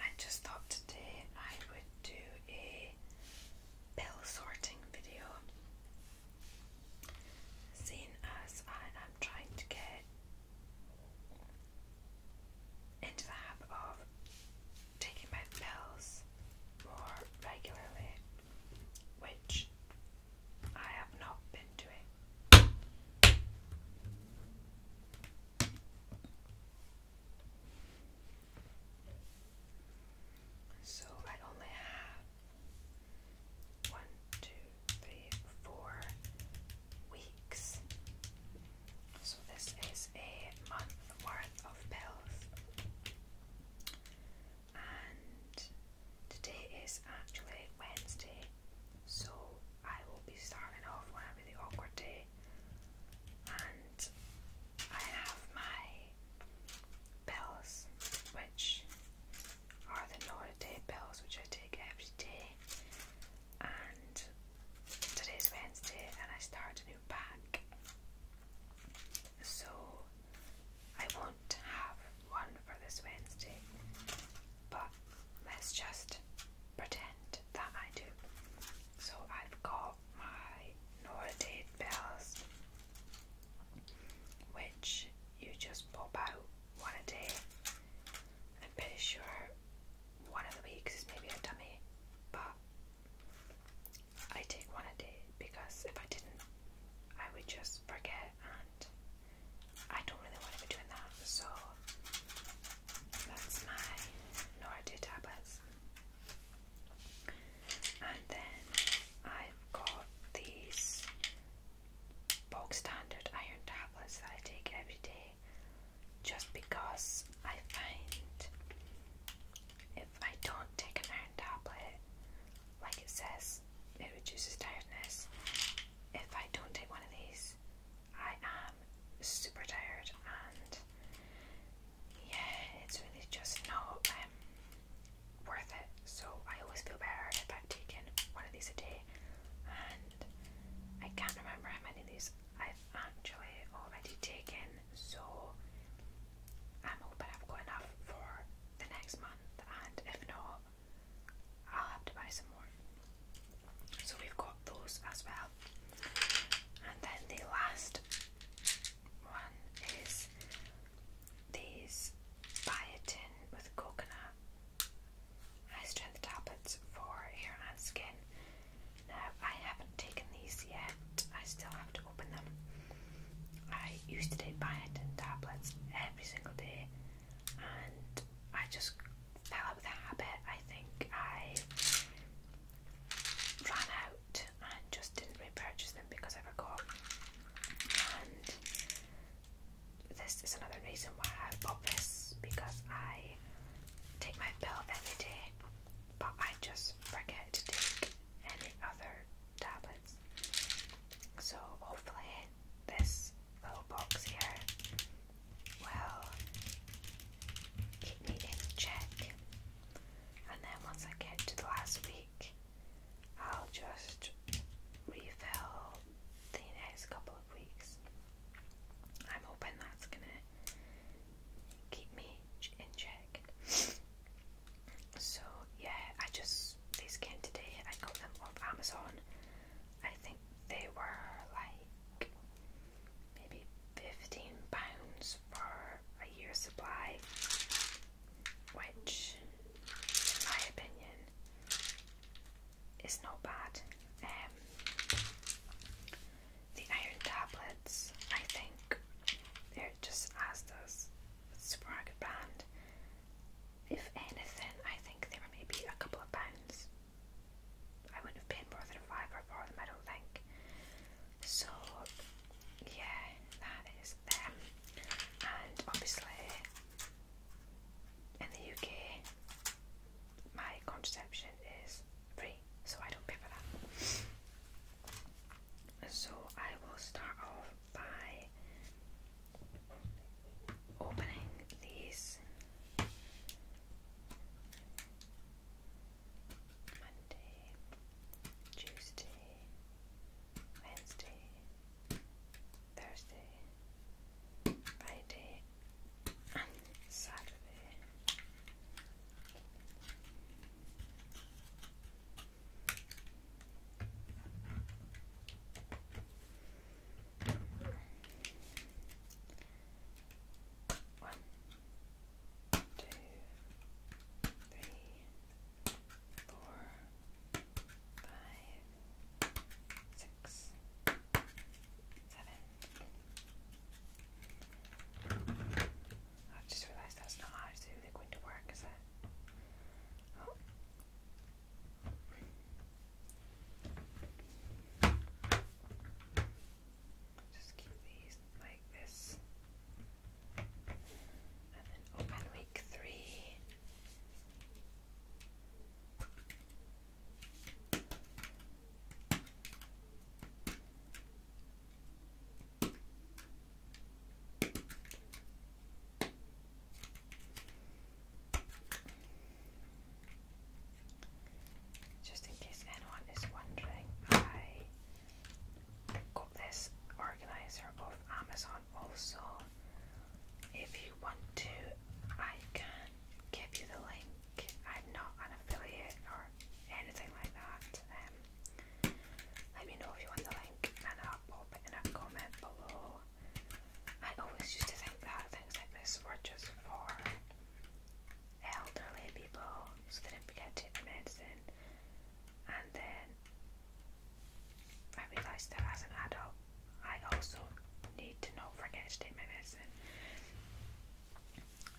I just thought today I would do a pill sorting video, seeing as I am trying to get into the habit of taking my pills more regularly, which I have not been doing. So I only have one, two, three, four weeks. So this is a month worth of pills. And today is actually Wednesday, so I will be starting off on a really awkward day, and I have my pills, which are the Noriday pills, which I take every day. And today's Wednesday, and I start a new pack, so I won't have one for this Wednesday but let's just pretend that I do. So I've got my Nora Date which you just pop out one a day. I'm pretty sure one of the weeks is maybe a dummy, but I take one a day because if I didn't, I would just forget, and I don't really want to be doing that. So that's my Nordu tablets. And then I've got these bog standard iron tablets that I take every day just because I find if I don't take an iron tablet, like it says, it reduces tiredness. If I don't take one of these, I am super tired and yeah, it's really just not um, worth it. So I always feel better if I've taken one of these a day and I can't remember how many of these I've actually already taken so I'm hoping I've got enough for the next month and if not I'll have to buy some more. So we've got those as well. And then the last one is these biotin with coconut high strength tablets for hair and skin. Now I haven't taken these yet, I still have to open them. I used to take biotin tablets every single day and I just fell out of the habit. I think I ran out and just didn't repurchase them because I forgot. And this is another reason why I bought this because I take my pill every day, but I just forget to take any other tablets. So hopefully this little box here well, keep me in check. And then once I get to the last week, I'll just refill the next couple of weeks. I'm hoping that's gonna keep me in check. So, yeah, I just, these came today. I got them off Amazon. I think they were like maybe fifteen pounds for a year's supply, which, in my opinion, is not bad. Um, the iron tablets, I think, they're just as does the brand. If anything, I think they were maybe a couple of pounds I wouldn't have paid more than a for them, I don't think. So, yeah, that is them. And obviously, in the UK, my contraception is free, so I don't pay for that. So, I will start off by opening these Monday, Tuesday, Wednesday, Thursday, Friday, and Saturday. One, two, three, four, five, six, seven. I just realized that's not how to do going to work, is it? Oh. Just keep these like this. And then open week three. Just in case anyone is wondering, I got this organizer off Amazon also. If you want to, I can give you the link. I'm not an affiliate or anything like that. Um, let me know if you want the link and I'll pop it in a comment below. I always used to think that things like this were just for elderly people so they didn't forget to take their medicine. And then I realised that as an adult, I also need to not forget to take my medicine.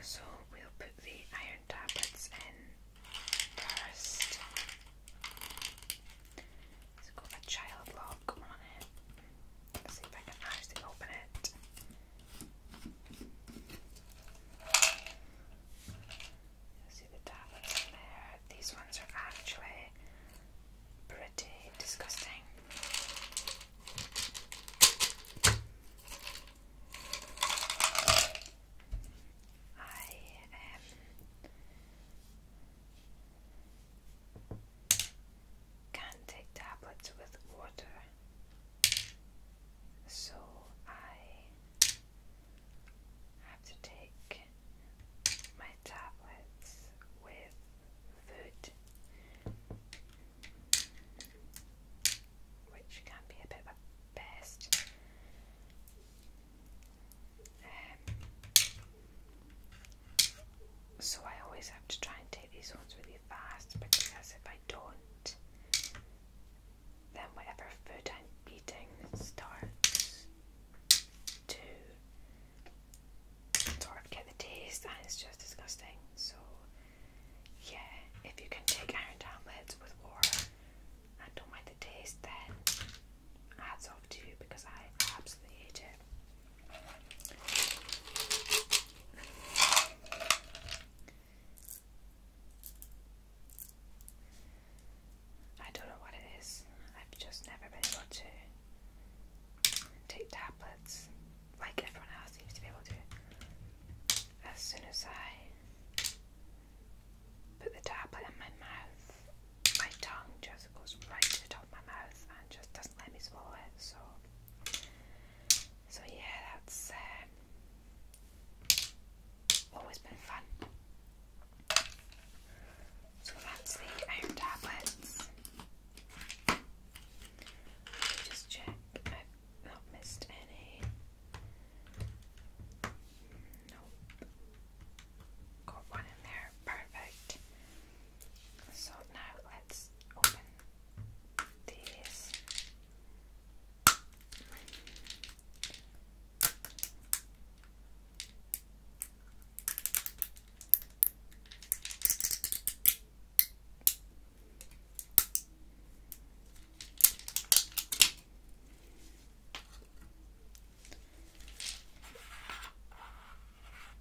So we'll put the iron tablets in first. It's got a child lock on it. Let's see if I can actually open it. See the tablets there. These ones are actually pretty disgusting. I um can't take tablets with water. So I have to take my tablets with food, which can be a bit of a pest. Um, so I always have to try and take these ones really fast because if I don't, then whatever food I'm eating starts to sort of get the taste and it's just disgusting. So yeah, if you can take iron tablets with water and don't mind the taste then hats off to because I absolutely hate it. I don't know what it is. I've just never been able to take tablets like everyone else seems to be able to. As soon as I put the tablet in my mouth, my tongue just goes right to the top of my mouth and just doesn't let me swallow it. So so yeah, that's um, always been fun. So that's the iron tablets. Just check I've not missed any. Nope. Got one in there. Perfect. So now let's open this.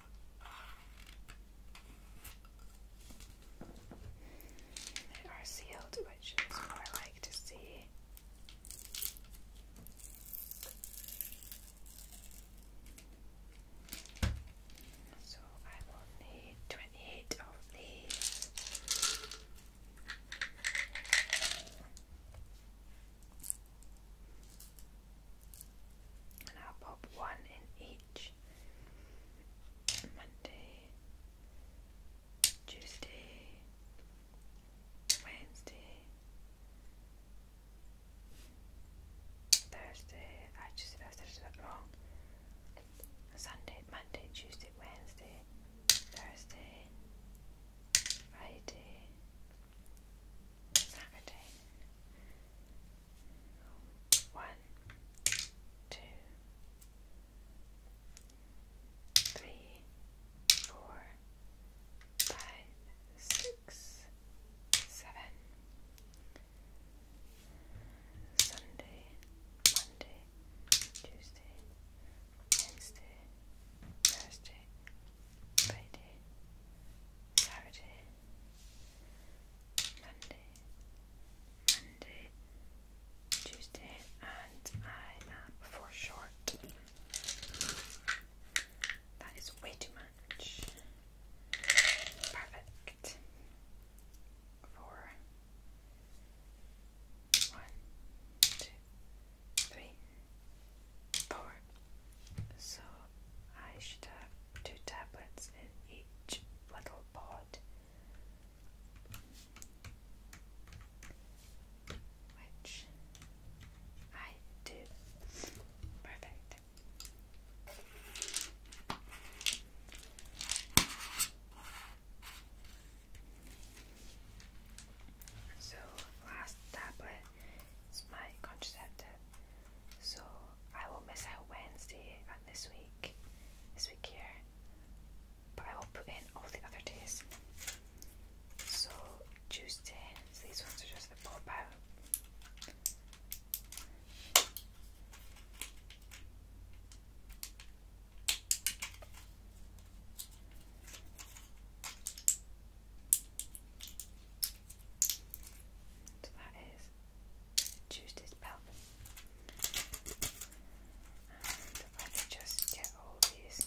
They are sealed, which is what I like to see. So I will need 28 of these and I'll pop one in each Monday, Tuesday, Wednesday, Thursday. I just said I wrong. Sunday, Monday, Tuesday, Wednesday, Thursday, Friday, Saturday. One, two, three, four, five, six, seven. Sunday, Monday, Tuesday, Wednesday, Thursday, Friday, Saturday, Monday, Monday, Tuesday, and I am for short. That is way too much. Perfect. Four. One, So I should have two tablets in each little pod, which I do. Perfect. So, last tablet is my contraceptive. So I will miss out Wednesday and this week, this week here, but I will put in all the other days. So Tuesday, so these ones are just the pop out. So that is choose this belt. And I just get all these.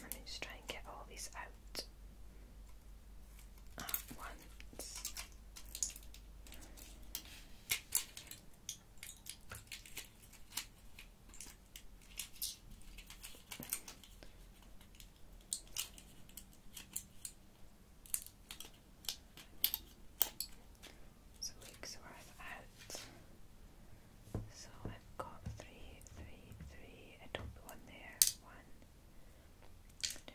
Let me try and get all these out at once. It's a out. So I've got three, three, three. I have got 333 i do one there. One, two, three.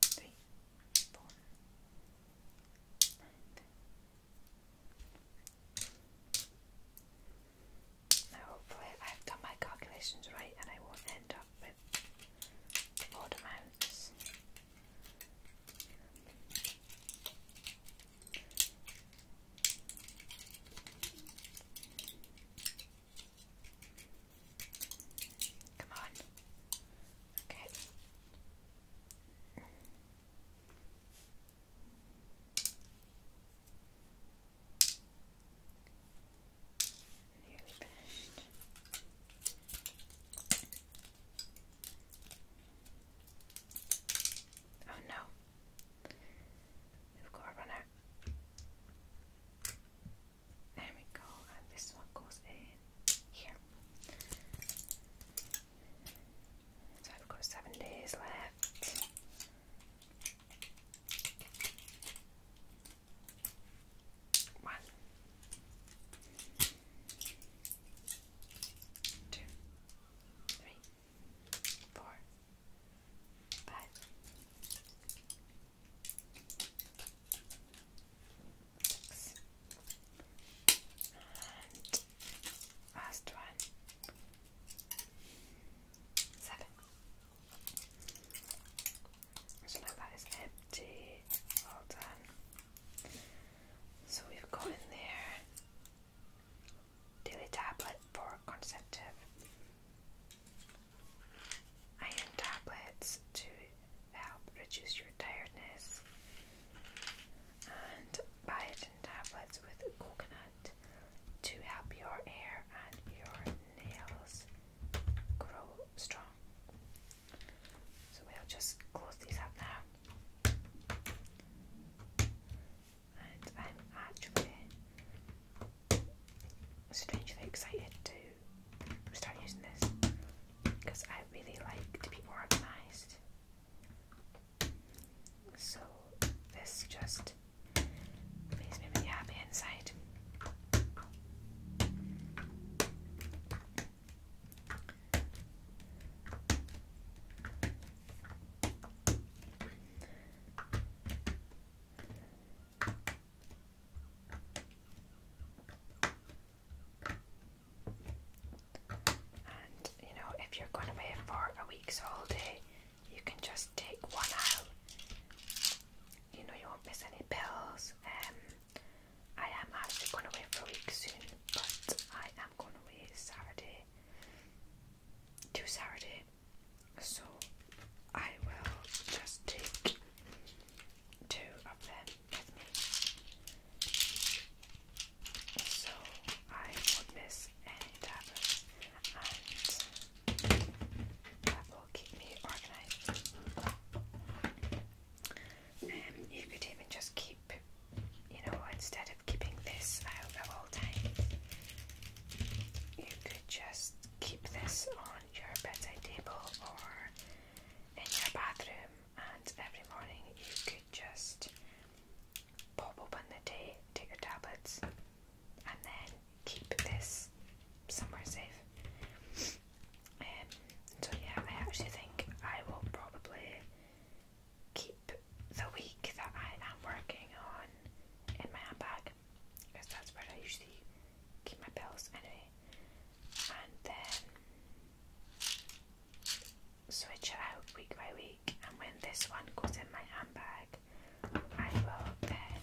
three, four, five. Now hopefully I've done my calculations right and I won't end up with odd amounts. Come on. Okay. Nearly finished. Oh no. We've got a runner. There we go, and this one goes in here. So I've got seven days left. One, two, three, four, five, Six. And last one. Seven. So now that is empty. Well done. So we've got in there daily tablet for contraceptive. Iron tablets to help reduce your tiredness, and biotin tablets with coconut to help your hair and your nails grow strong. So we'll just close these up now. And I'm I'm strangely excited to start using this because I really like to be organized. So, this just makes me really happy inside. And you know, if you're going away for a week's holiday, you can just take one out. You know, you won't miss any pills. Um, I am actually going away for a week soon, but I am going away Saturday to Saturday. So I will just take two of them with me. So I won't miss any tablets and that will keep me organized. Um, you could even just keep, you know, instead of keeping this out at all times, you could just keep this on your bedside table or in your bathroom, and every morning you could just pop open the day, take your tablets, and then keep this somewhere safe. Um, so, yeah, I actually think I will probably keep the week that I am working on in my handbag because that's where I usually keep my pills anyway. And then switch it out week by week. And when this one goes in my handbag, I will then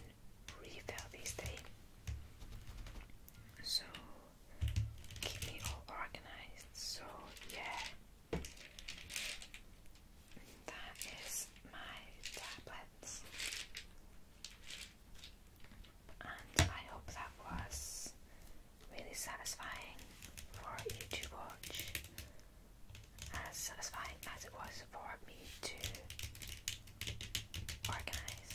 refill these three. So keep me all organized. So yeah. That is my tablets. And I hope that was really satisfying for you to watch. As satisfying as it was for me to organize.